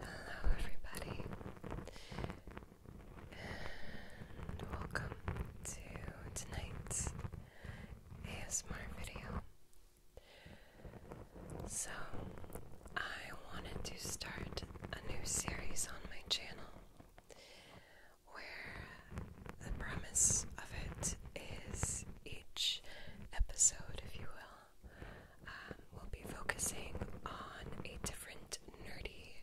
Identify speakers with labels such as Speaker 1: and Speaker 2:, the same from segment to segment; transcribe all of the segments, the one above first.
Speaker 1: Hello, everybody, and welcome to tonight's ASMR video. So, I wanted to start a new series on my channel where the premise of it is each episode, if you will, um, will be focusing on a different nerdy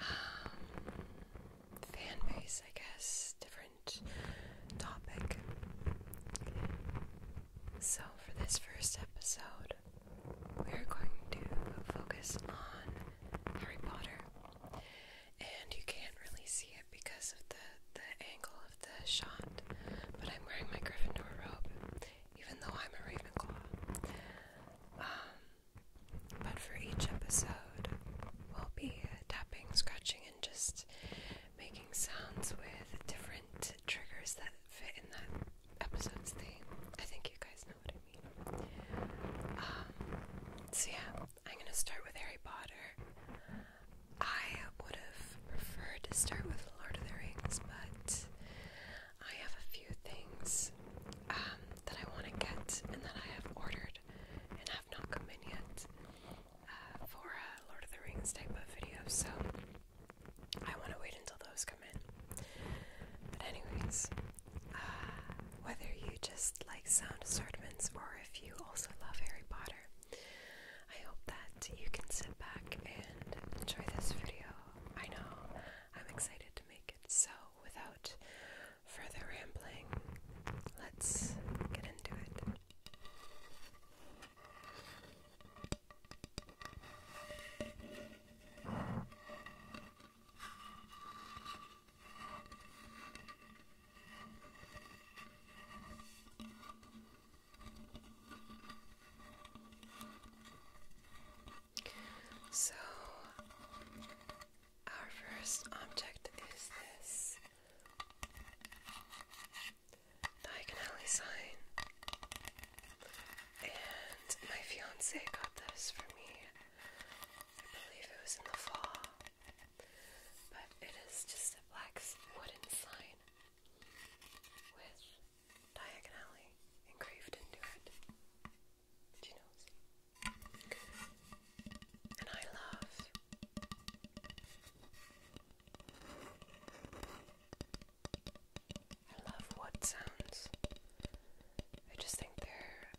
Speaker 1: um, fan base, I guess, different topic. So, for this first episode, we're going to focus on Harry Potter. And you can't really see it because of the, the angle of the shot, but I'm wearing my Gryffindor robe, even though I'm a Ravenclaw. Um, but for each episode, we'll be tapping, scratching, and just making sounds with different triggers that fit in that episode's theme. I think you guys know what I mean. Um, so yeah, I'm gonna start with Harry Potter. I would have preferred to start with Lord of the Rings, but I have a few things um, that I want to get and that I have ordered not come in yet uh, for Lord of the Rings type of video, so I want to wait until those come in. But, anyways, uh, whether you just like sound assortments or if you also love Harry Potter, I hope that you can sit back and enjoy this video. I know I'm excited to make it, so without further rambling, let's get into it. So, our first object is this diagonally sign. And my fiance got this for me. I believe it was in the fall. But it is just a black wooden sign with diagonally engraved into it. She knows and I love. I love wood sounds. I just think they're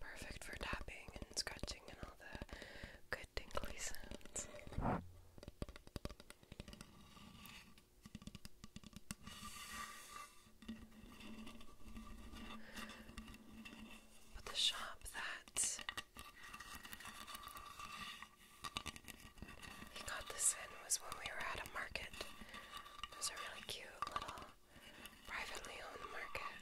Speaker 1: perfect for tapping and scratching and all the good tingly sounds but the shop that he got this in was when we were at a market. It was a really cute little privately owned market.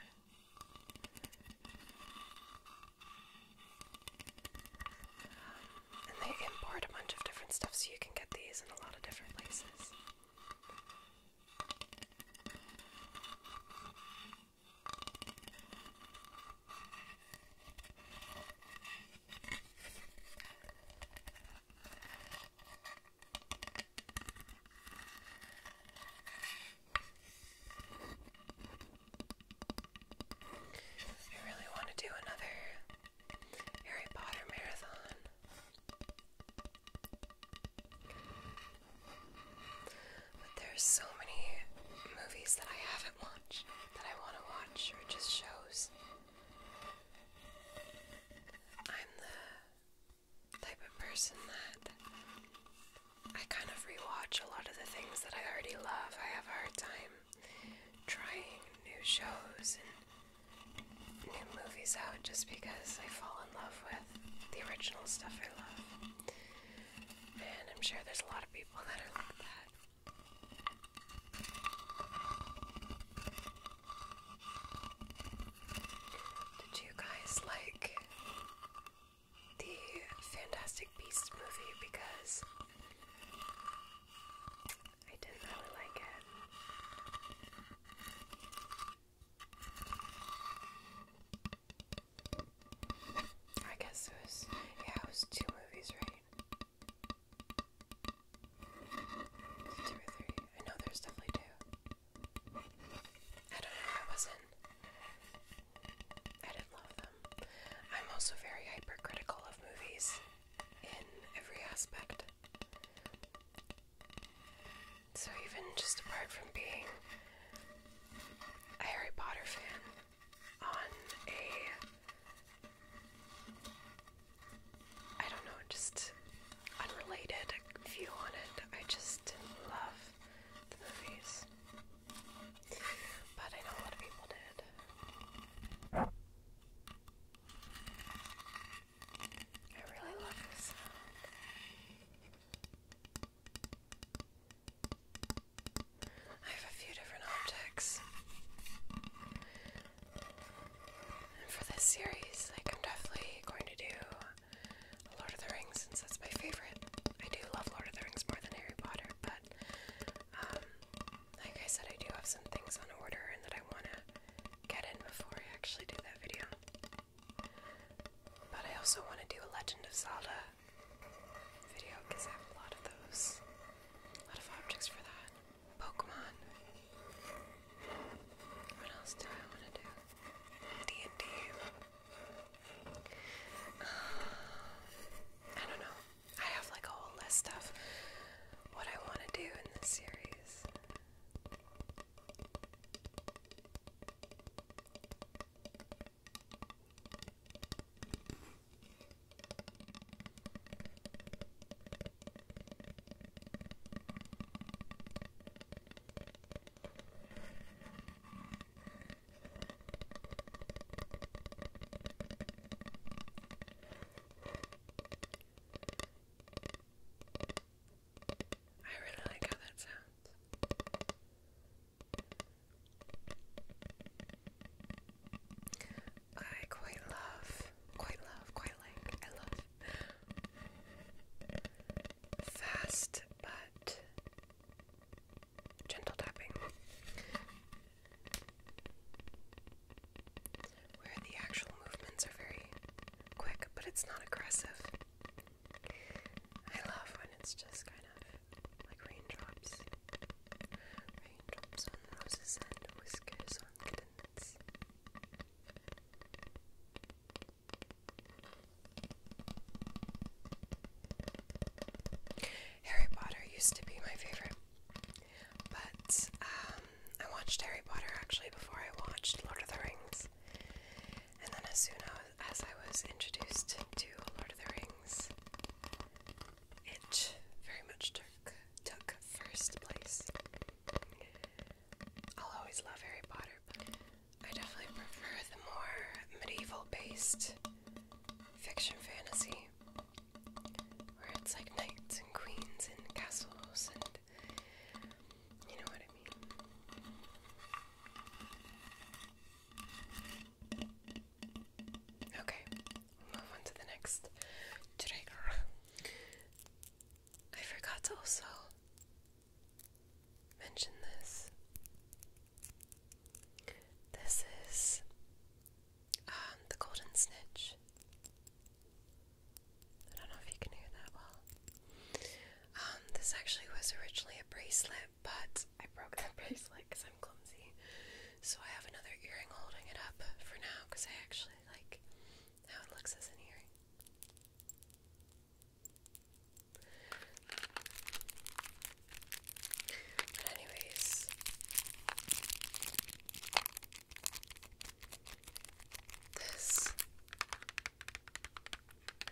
Speaker 1: Um, and they import a bunch of different stuff, so you can get these in a lot of different places. I really want to do another Harry Potter marathon. But there's so many movies that I haven't watched that I want to watch, or just shows. I'm the type of person that I kind of rewatch a lot of the things that I already love. I have a hard time trying new shows and new movies out just because I fall in love with the original stuff I love. And I'm sure there's a lot of people that are like that. Did you guys like the Fantastic Beasts movie? Because I didn't really like it. I guess it was, yeah, it was two movies, right? Two or three. I know there's definitely two. I don't know, I wasn't. I didn't love them. I'm also very hypercritical of movies in every aspect. So, even just apart from being a Harry Potter fan, on a I don't know, just unrelated view on it, I just love the movies. But I know a lot of people did. I really love this sound. I have a few different optics. And for this series, I'm definitely going to do Lord of the Rings since that's my favorite. I do love Lord of the Rings more than Harry Potter, but um, like I said I do have some things on order and that I wanna get in before I actually do that video. But I also want to do a Legend of Zelda video because I have a lot of those, a lot of objects for that. Pokemon. What else do I want to do? D&D. don't know. I have like a whole list of what I want to do in this series. I really like how that sounds. I quite love, quite love, quite like, I love fast but gentle tapping. Where the actual movements are very quick, but it's not aggressive. I love when it's just kind of like raindrops. Raindrops on roses and whiskers on kittens. Harry Potter used to be my favorite, but um, I watched Harry Potter actually before I watched Lord of the Rings. And then, as soon as I was introduced to Lord of the Rings, it very much took took first place. I'll always love Harry Potter, but I definitely prefer the more medieval-based fiction fantasy, where it's like knights and queens and castles and you know what I mean. Okay, move on to the next trigger. I forgot to also mention this. This is um, the golden snitch. I don't know if you can hear that well. Um, this actually was originally a bracelet, but I broke that bracelet because I'm clumsy. So I have another earring holding it up for now because I actually like how it looks as an earring. But anyways, this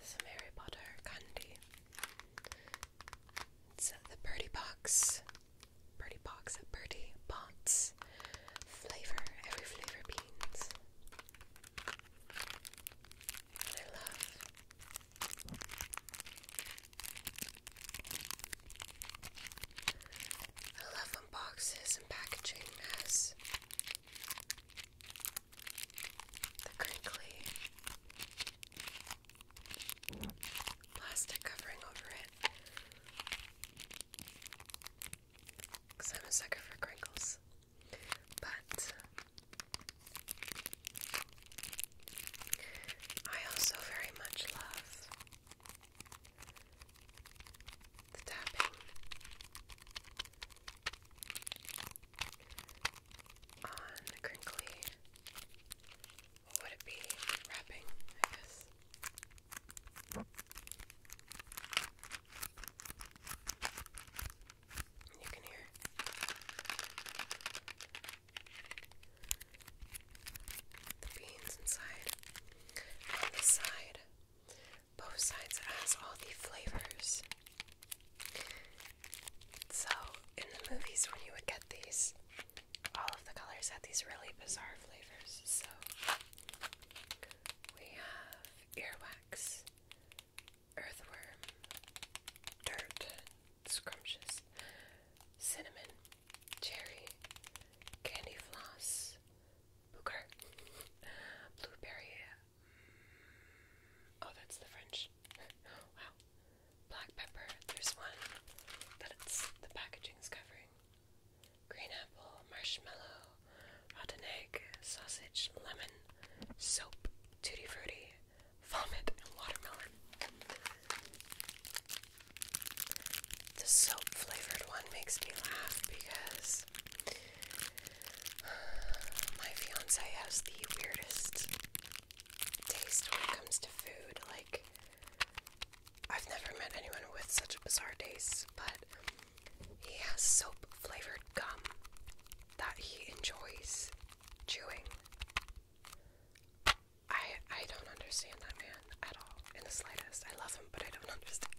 Speaker 1: some Harry Potter candy. It's the Birdie Box. Birdie Box, Birdie Box. Flavor, every flavor beans. I love I love when and packaging has the crinkly plastic covering over it. Because I'm a sucker for crinkles. But I also very much love the tapping on crinkly, what would it be? Wrapping, I guess. You can hear. The beans inside. On the side, both sides has all the flavors. So, in the movies, when you would get these, all of the colors had these really bizarre flavors. So, we have earwax, earthworm, dirt, scrumptious, cinnamon, cherry, candy floss, booger, blueberry Oh, that's the French. wow. Black pepper. There's one that it's the packaging's covering. Green apple, marshmallow, rotten egg, sausage, lemon, soap, tutti frutti, vomit, and watermelon. The soap flavored one makes me laugh because My fiance has the weirdest taste when it comes to food. Like, I've never met anyone with such a bizarre taste, but he has soap flavored gum that he enjoys chewing. I I don't understand that man at all in the slightest. I love him, but I don't understand.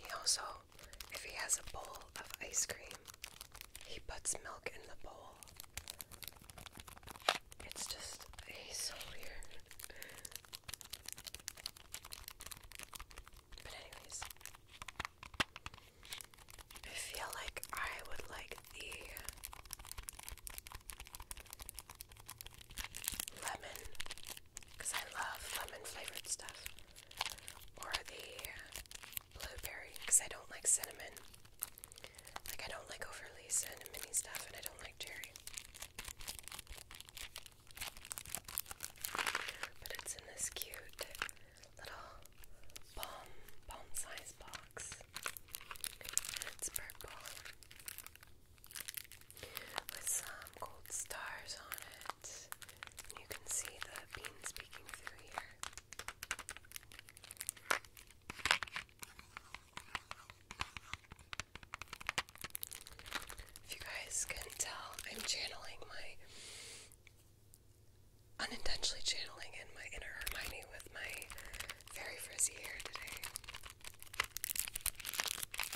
Speaker 1: He also if he has a bowl of ice cream, he puts milk in the bowl. It's just, he's so weird. But, anyways, I feel like I would like the lemon because I love lemon flavored stuff, or the blueberry because I don't like cinnamon. Like I don't like overly cinnamony stuff, and I don't like cherry. But it's in this cute little bomb bomb size box. It's purple with some gold stars on it. You can see the beans peeking through here. If you guys can tell, I'm channeling my unintentionally channeling in my inner Hermione with my very frizzy hair today.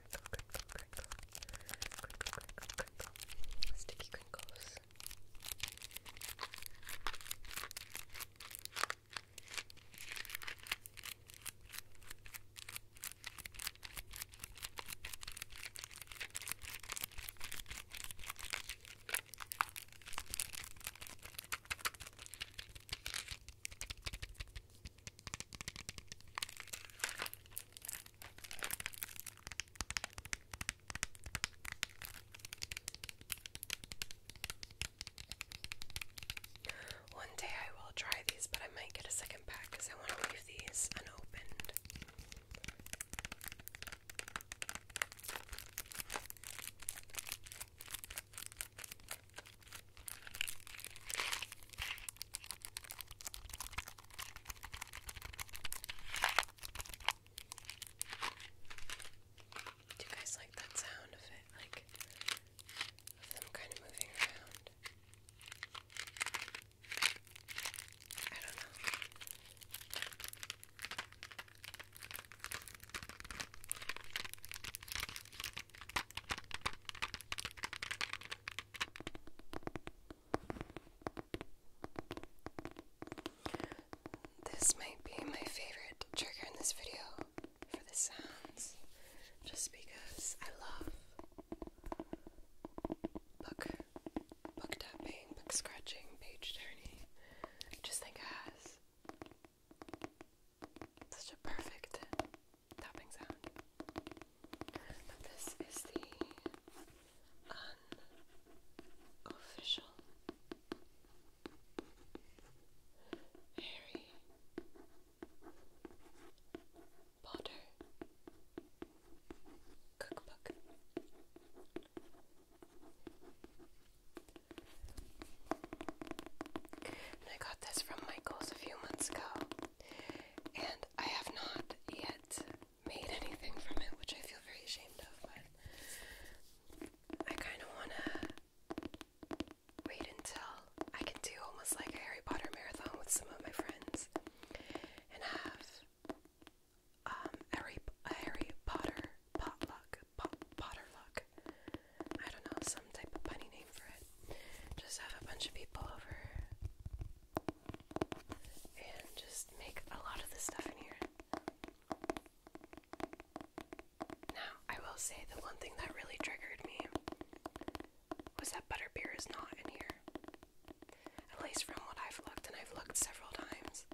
Speaker 1: crinkle, crinkle, crinkle, crinkle, crinkle, crinkle, sticky crinkles. One day I will try these, but I might get a second pack because I want to leave these unopened. Do you guys like that sound of it? Like, of them kind of moving around? I don't know. This might be my favorite trigger in this video for the sounds, just because I love book, book tapping, book scratching, page turning. just think it has such a perfect tapping sound this is the unofficial, Harry Potter cookbook. I got this from Michael's a few months ago, and I have not yet made anything from it, which I feel very ashamed of, but I kind of want to wait until I can do almost like a Harry Potter marathon with some of my friends and have um, Harry, Harry Potter potluck, pot, potterluck, I don't know, some type of funny name for it. Just have a bunch of people over and just make a lot of the stuff in here. Now, I will say the one thing that really triggered me was that butterbeer is not in here. At least from what I've looked, and I've looked several times,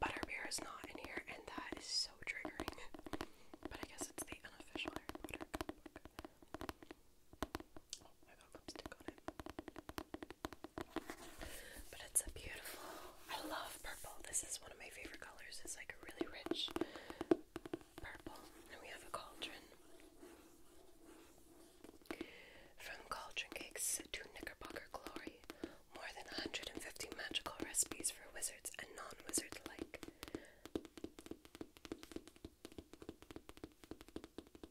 Speaker 1: butterbeer is not in here, and that is so triggering. but I guess it's the unofficial but it's a beautiful. I love purple. This is one of my favorite colors. It's like a really rich purple. And we have a cauldron. From cauldron cakes to Knickerbocker glory, more than 150 magical recipes for wizards and non-wizards alike.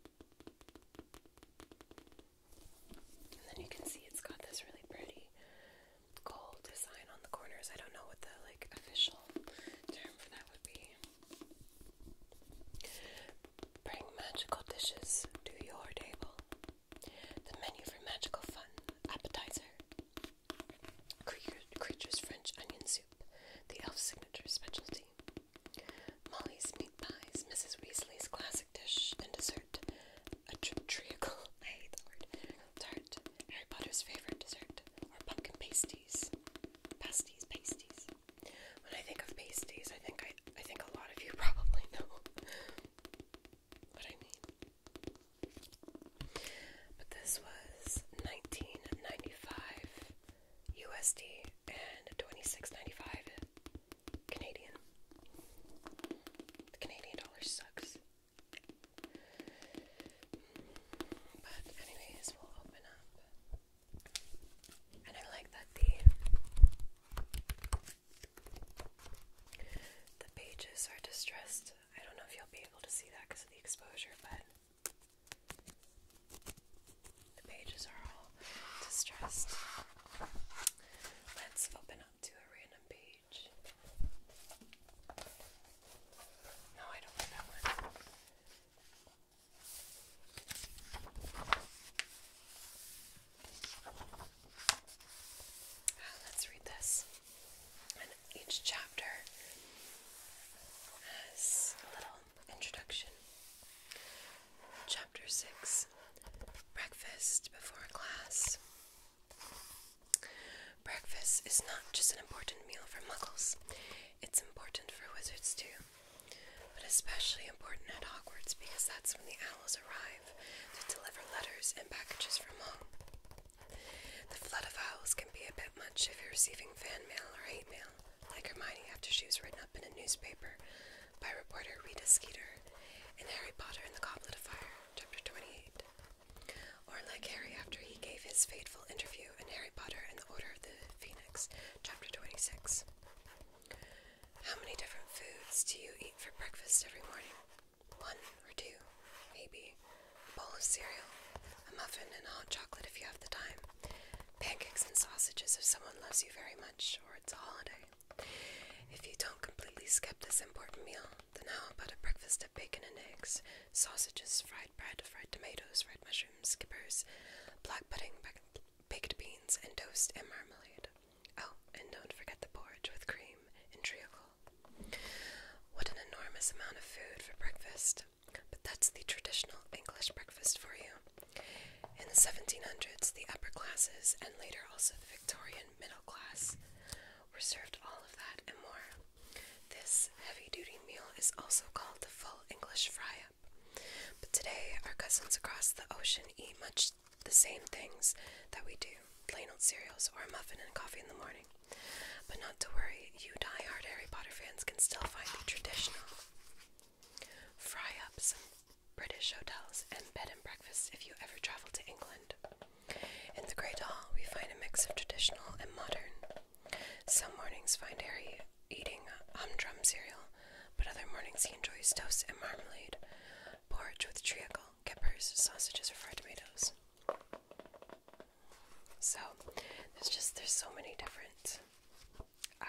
Speaker 1: And then you can see it's got this really pretty gold design on the corners. I don't know what the like official term for that would be. Bring magical dishes to your table. The menu for magical fun appetizer. Creatures French onion soup. The elf signature specialty. Molly's meat pies, Mrs. Weasley's classic dish and dessert, a tr treacle, I hate the word, tart, Harry Potter's favorite dessert, are pumpkin pasties, pasties, pasties. When I think of pasties, I think I, I think a lot of you probably know what I mean. But this was 1995. USD and 26.95 Canadian. The Canadian dollar sucks. But anyways, we'll open up. And I like that the the pages are distressed. I don't know if you'll be able to see that because of the exposure, but the pages are all distressed. Let's open up to a random page. No, I don't want let's read this. And each chapter has a little Introduction. Chapter 6 Breakfast Before Class. Breakfast is not just an important meal for muggles, it's important for wizards too. But especially important at Hogwarts because that's when the owls arrive to deliver letters and packages from home. The flood of owls can be a bit much if you're receiving fan mail or hate mail, like Hermione after she was written up in a newspaper by reporter Rita Skeeter in Harry Potter and the Goblet of Fire, Chapter 28. Or like Harry after he gave his fateful interview in Harry Potter and the Order of the Phoenix, Chapter 26. How many different foods do you eat for breakfast every morning? One or two, maybe. A bowl of cereal, a muffin, and hot chocolate if you have the time. Pancakes and sausages if someone loves you very much or it's a holiday. If you don't completely skip this important meal, then how about a breakfast of bacon and eggs, sausages, fried bread, fried tomatoes, fried mushrooms, skippers, black pudding, baked beans, and toast and marmalade? Oh, and don't forget the porridge with cream and treacle. What an enormous amount of food for breakfast! But that's the traditional English breakfast for you. In the 1700s, the upper classes, and later also the Victorian middle class, were served all of that and more. This heavy duty meal is also called the full English fry up. But today, our cousins across the ocean eat much the same things that we do plain old cereals or a muffin and coffee in the morning. But not to worry, you die hard Harry Potter fans can still find the traditional Fry up some British hotels and bed and breakfasts if you ever travel to England. In the Great Hall, we find a mix of traditional and modern. Some mornings find Harry eating humdrum cereal, but other mornings he enjoys toast and marmalade, porridge with treacle, peppers, sausages, or fried tomatoes. So, there's just there's so many different um,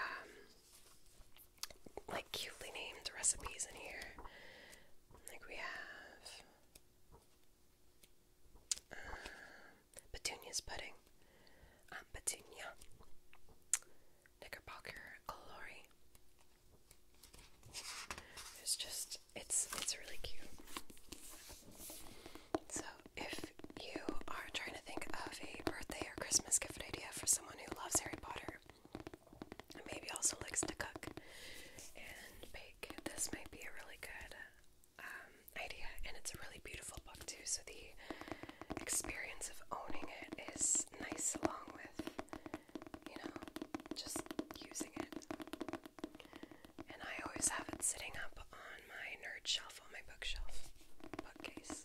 Speaker 1: like cutely named recipes in here. Like we have um, petunias pudding, um, petunia, knickerbocker glory. It's just it's it's really cute. So if you are trying to think of a birthday or Christmas gift idea for someone who loves Harry Potter and maybe also likes to cook and bake, this might be a really good um, idea. And it's a really beautiful book, too, so the experience of owning it is nice along with, you know, just using it. And I always have it sitting up on on my nerd shelf, on my bookshelf, bookcase.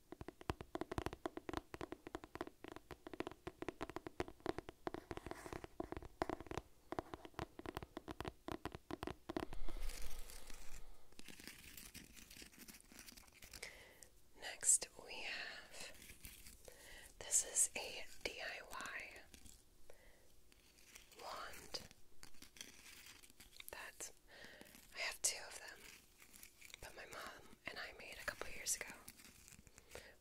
Speaker 1: Next, we have this is a DIY wand that I have two of them. But my mom and I made a couple years ago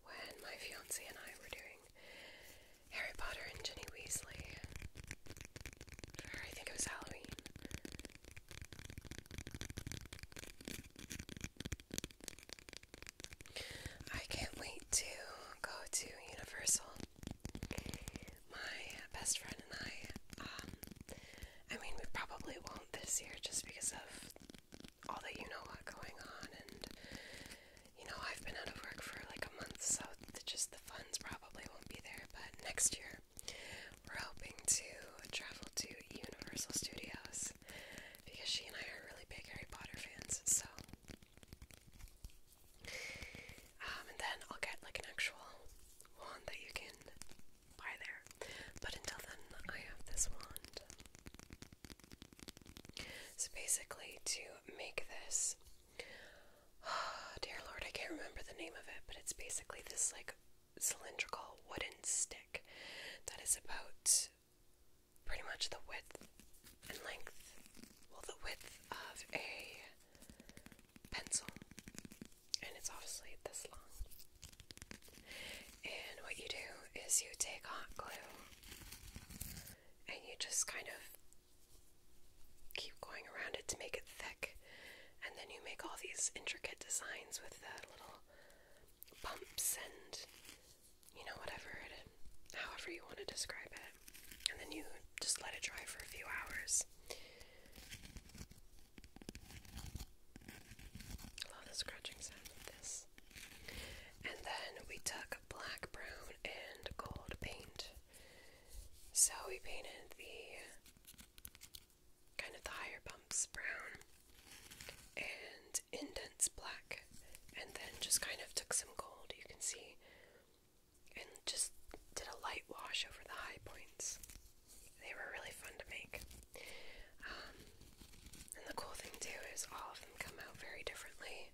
Speaker 1: when my fiance and I were doing Harry Potter and Ginny Weasley. I think it was Halloween. I can't wait to go to Universal. My best friend and I um, I mean, we probably won't this year just because of all the you know what going on, and you know, I've been out of work for like a month, so the, just the funds probably won't be there. But next year, we're hoping to travel to Universal Studios because she and I are really big Harry Potter fans, so. Um, and then I'll get like an actual wand that you can by there. But until then, I have this wand. So basically, to make this, oh, dear Lord, I can't remember the name of it, but it's basically this like cylindrical wooden stick that is about pretty much the width and length, well, the width of a pencil, and it's obviously this long. And what you do is you take hot glue and you just kind of keep going around it to make it thick, and then you make all these intricate designs with the little bumps and you know, whatever it however you want to describe it, and then you just let it dry for a few hours. Love the scratching sound of this. And then we took black, brown, and gold paint. So we painted the kind of the higher bumps brown and indents black, and then just kind of took some gold, you can see, and just did a light wash over the high points they were really fun to make. Um, and the cool thing too is all of them come out very differently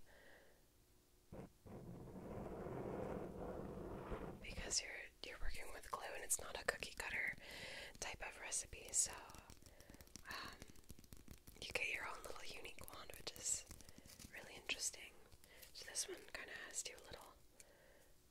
Speaker 1: because you're you're working with glue and it's not a cookie cutter type of recipe, so um, you get your own little unique wand, which is really interesting. So this one kind of has two little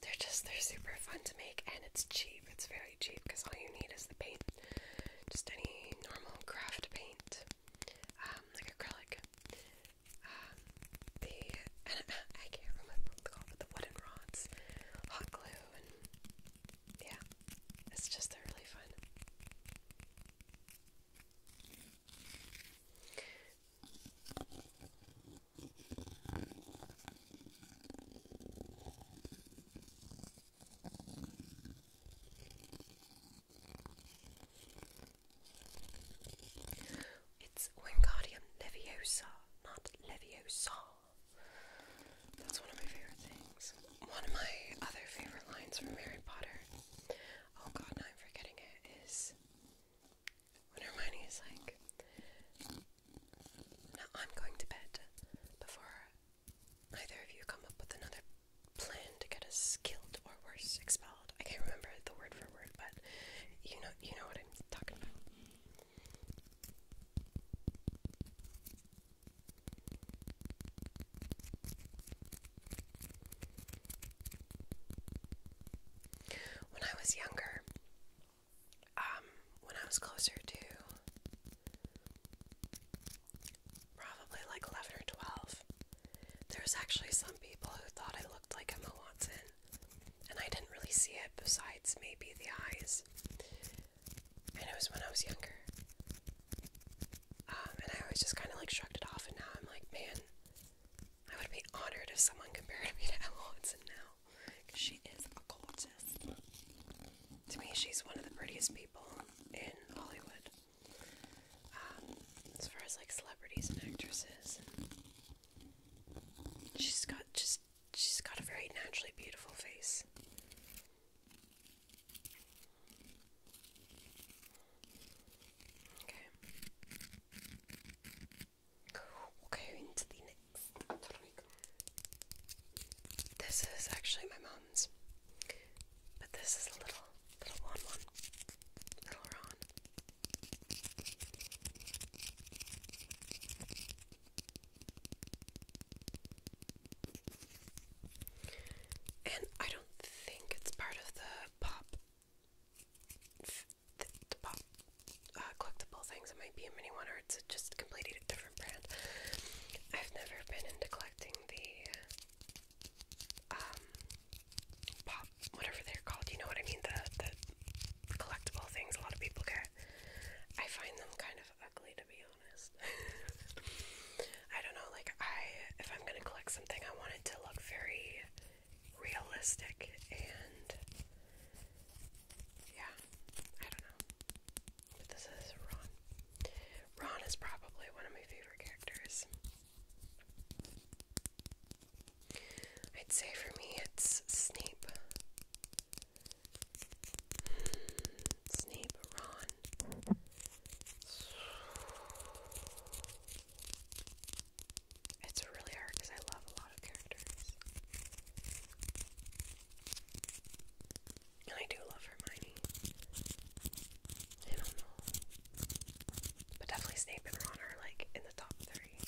Speaker 1: They're just, they're super fun to make and it's cheap. It's very cheap because all you need is the paint. Just any normal craft paint, um, like acrylic. Um, the, I can't remember what they're called, the wooden rods, hot glue, and yeah, it's just, they're really fun. It's Wingardium Leviosa, not Leviosa. That's one of my favorite things. One of my other favorite lines from Harry Potter. Oh god, I'm forgetting it. Is when Hermione is like, now I'm going to bed before either of you come up with another plan to get us killed or worse, expelled. I can't remember the word for word, but you know, you know what I'm talking about. When I was younger, um, when I was closer to probably like 11 or 12, there was actually some people who thought I looked like Emma Watson, and I didn't really see it besides maybe the eyes. And it was when I was younger. Um, and I always just kind of like shrugged it off, and now I'm like, man, I would be honored if someone compared me to Emma Watson now. She is a gorgeous. To me, she's one of the prettiest people in Hollywood. Um, as far as like celebrities and actresses, she's got just she's got a very naturally beautiful face. Okay we into the next This is actually my mom's, but this is a little, little one, one, little Ron. And I don't think it's part of the pop the, pop uh, collectible things. It might be a mini one, or it's just completely a different brand. I've never been into collecting the um pop, whatever they're called. You know what I mean? The the collectible things a lot of people get. I find them kind of ugly, to be honest. I don't know. Like I, if I'm gonna collect something, I want it to look very realistic and yeah, I don't know. But this is Ron. Ron is probably one of my favorite characters. I'd say for me it's Snape. Hmm, Snape, Ron. It's really hard because I love a lot of characters. I do love Hermione. I don't know. But definitely Snape and Ron are like in the top three.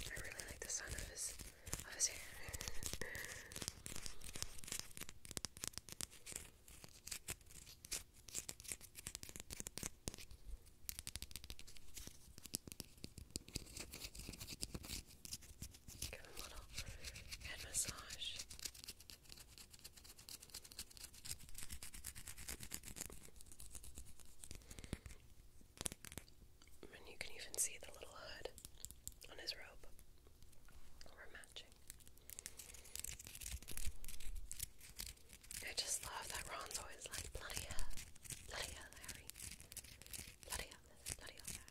Speaker 1: I really like the sound of his of his hair. Give him a little head massage. And you can even see the little hood on his robe. We're matching. I just love that Ron's always like, bloody hell, bloody hell, Harry, bloody hell bloody hell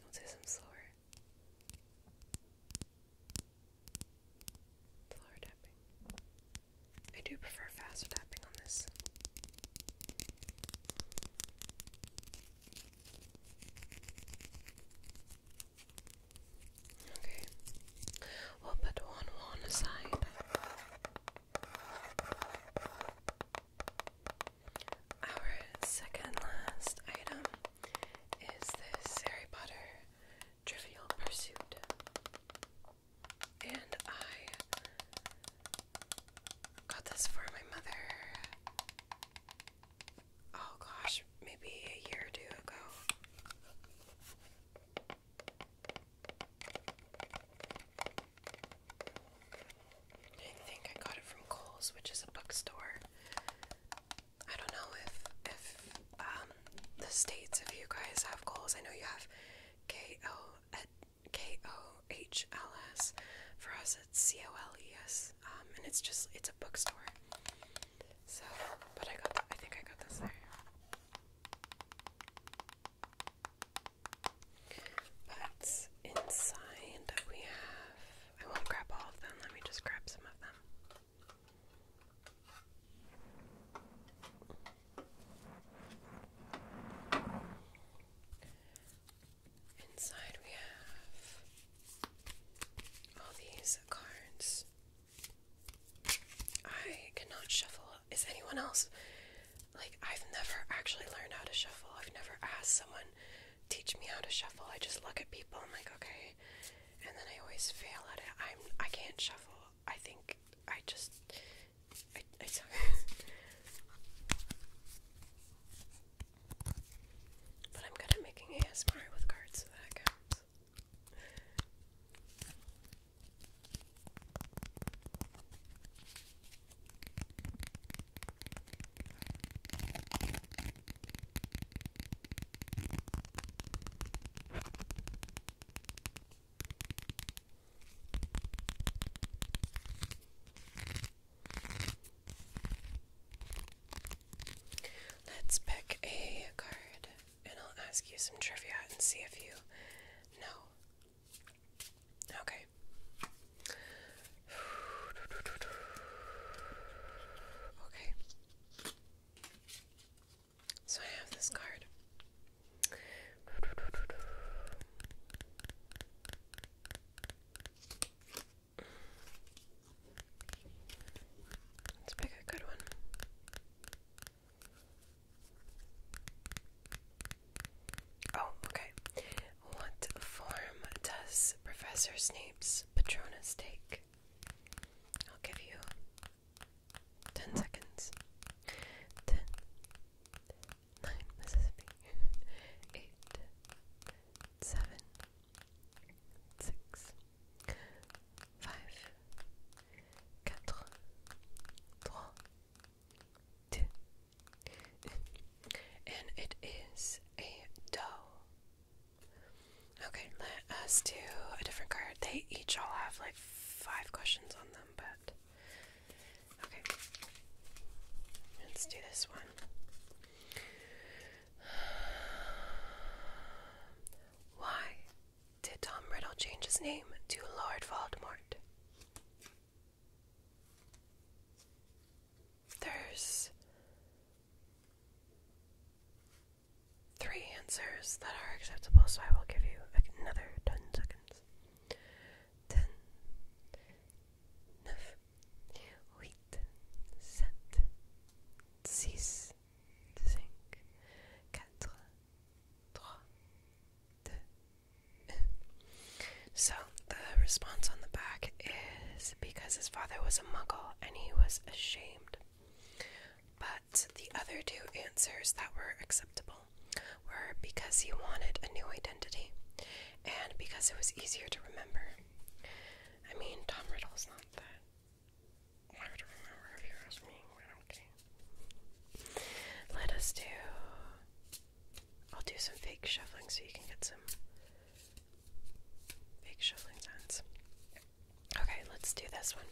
Speaker 1: I'll do some slower. Flower tapping. I do prefer faster tapping on this. Okay. We'll put one one aside. Our second last item is this Harry Potter Trivial Pursuit. And I got this for my mother, oh gosh, maybe a year or two ago. I think I got it from Kohl's, which is a bookstore I don't know if if um, the states if you guys have goals. I know you have K O K O H L S. For us, it's C O L E S, um, and it's just it's a bookstore. So, but I got I think I got this But inside we have. I won't grab all of them. Let me just grab some of them. Inside, we have all these cards. I cannot shuffle. Is anyone else? Like, I've never actually learned how to shuffle. I've never asked someone, teach me how to shuffle. I just look at people. I'm like, okay, and then I always fail at it. I'm I can't shuffle. I think I just I I suck. But I'm good at making ASMR with cards, so that counts. Let's pick a card and I'll ask you some trivia and see if you know. Okay. Okay. So I have this card. Let's pick a good one. Oh, okay. What form does Professor Snape's Patronus take? I'll give you 10 seconds. 10, 9, Mississippi, 8, And it is a dough. Okay, let us do a different card. They each all have like five questions on them, but. Okay. Let's do this one. Why did Tom Riddle change his name to Lord Voldemort? There's three answers that are acceptable, so I will give you another 10 seconds. 10, 9, 8, 7, 6, 5, 4, 3, 2, So, the response on the back is because his father was a muggle and he was ashamed. But the other two answers that were acceptable were because he wanted a new identity and because it was easier to remember. I mean, Tom Riddle's not that hard to remember if you ask me. I Let us do. I'll do some fake shuffling so you can get some Big shuffling sounds. Okay, let's do this one.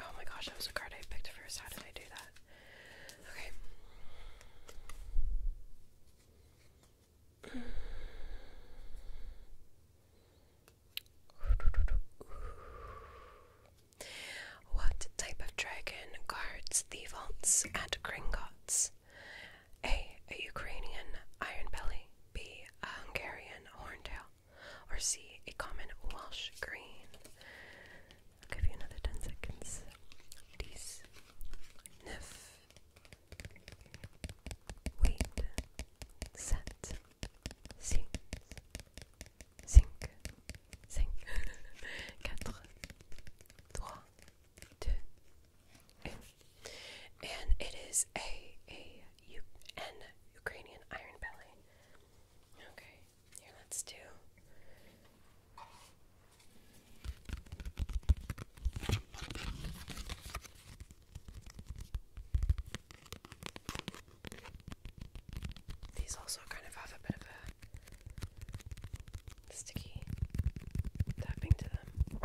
Speaker 1: Oh my gosh, that was a card I picked first. How did I do that? Okay. What type of dragon guards the vaults at Gringotts? A. A Ukrainian iron belly. B. A Hungarian horntail. Or C. A common Welsh green. I'll give you another 10 seconds. Dies. Nif. Wait. Set. Six. Cinq. Cinq. Quatre. Trois. Deux and it is a a U N Ukrainian iron belly. Okay, here let's do. These also kind of have a bit of a sticky tapping to them.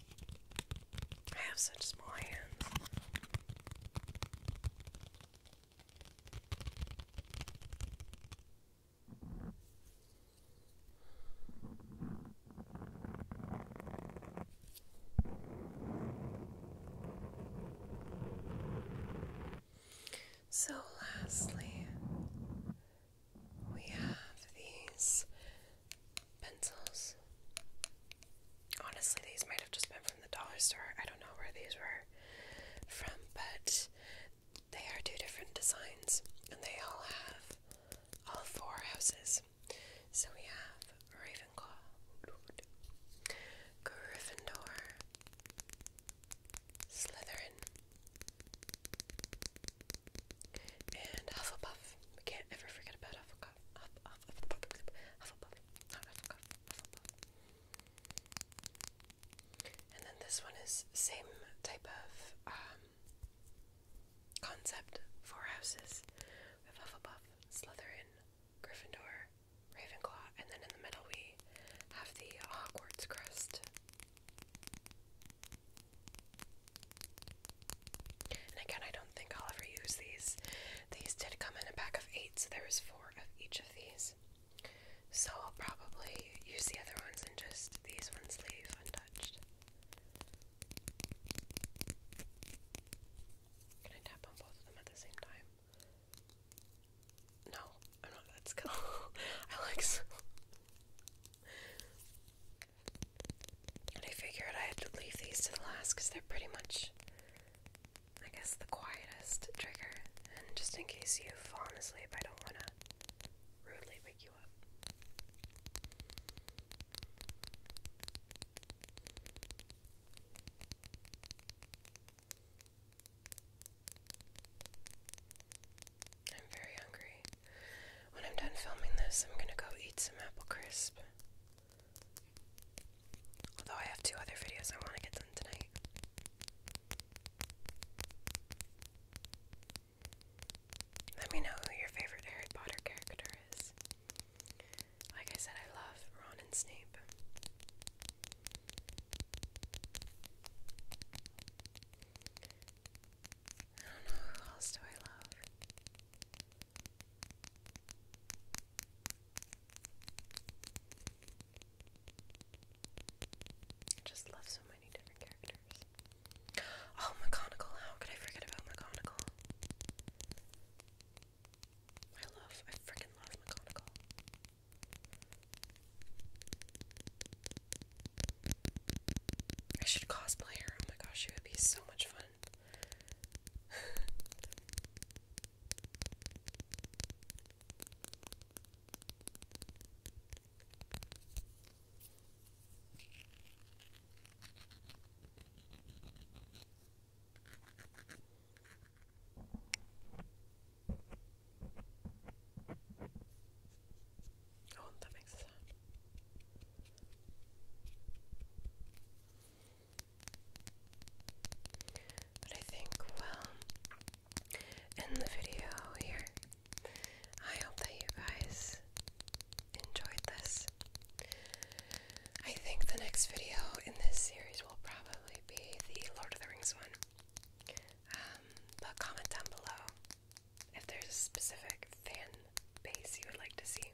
Speaker 1: I have such small hands. So, lastly, we have these pencils. Honestly, these might have just been from the dollar store. I don't know where these were from, but they are two different designs, and they all have all four houses. So we have Ravenclaw, Gryffindor, Slytherin, and Hufflepuff. We can't ever forget about Hufflepuff. Hufflepuff. Hufflepuff. Hufflepuff. And then this one is same type of um, concept. for houses. Hufflepuff, Slytherin, Gryffindor, Ravenclaw, and then in the middle we have the Hogwarts crest again, I don't think I'll ever use these. These did come in a pack of eight, so there four of each of these. So I'll probably use the other ones and just these ones leave untouched. Can I tap on both of them at the same time? No, I'm not that skillful. I like I figured I had to leave these to the last because they're pretty much, I guess, the quietest trigger. And just in case you've fallen asleep, I don't want to rudely wake you up. I'm very hungry. When I'm done filming this, I'm gonna go eat some apple crisp. Although I have two other videos I want to get done tonight. Let me know who your favorite Harry Potter character is. Like I said, I love Ron and Snape. I don't know who else do I love. I just love so many different characters. Oh, McGonagall! How could I forget about McGonagall? I love, I freaking love McGonagall. I should cosplay her. Oh my gosh, it would be so much fun. Oh, that makes but I think we'll the video here. I hope that you guys enjoyed this. I think the next video in this series will probably be the Lord of the Rings one. Um, but comment down below if there's a specific fan base you would like to see.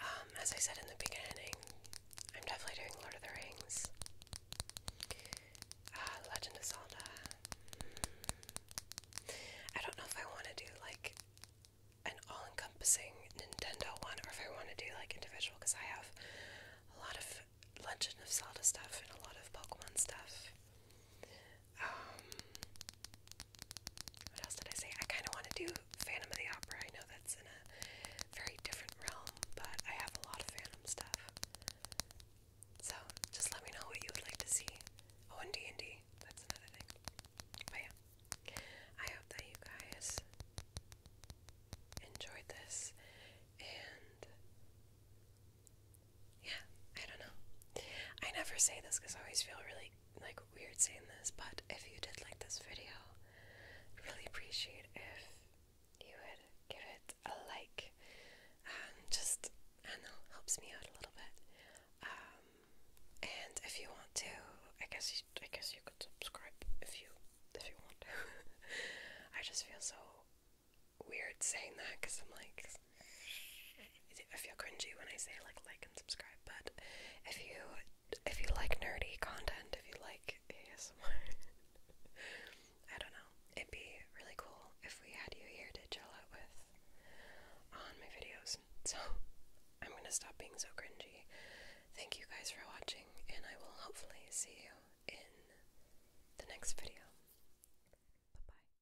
Speaker 1: Um, as I said in the beginning, I'm definitely doing Lord of the Rings, uh, Legend of Zelda. I don't know if I want to do like an all-encompassing Nintendo one, or if I want to do like individual, because I have a lot of Legend of Zelda stuff and a lot of Pokemon stuff. Um, what else did I say? I kind of want to do Phantom of the Opera. I know that's in a very different realm, but I have a lot of Phantom stuff. So just let me know what you would like to see. Oh, and D and D. That's another thing. But oh, yeah, I hope that you guys enjoyed this, and yeah, I don't know. I never say this because I always feel really like weird saying this, but if you did like this video, I'd really appreciate if you would give it a like. Um, just I know, helps me out a little bit. Um, and if you want to, I guess I guess you could subscribe if you if you want. I just feel so weird saying that because I'm like I feel cringy when I say like like and subscribe, but if you if you like nerdy content, if you like ASMR, I don't know, it'd be really cool if we had you here to chill out with on my videos. So I'm gonna stop being so cringy. Thank you guys for watching, and I will hopefully see you in the next video. Bye bye.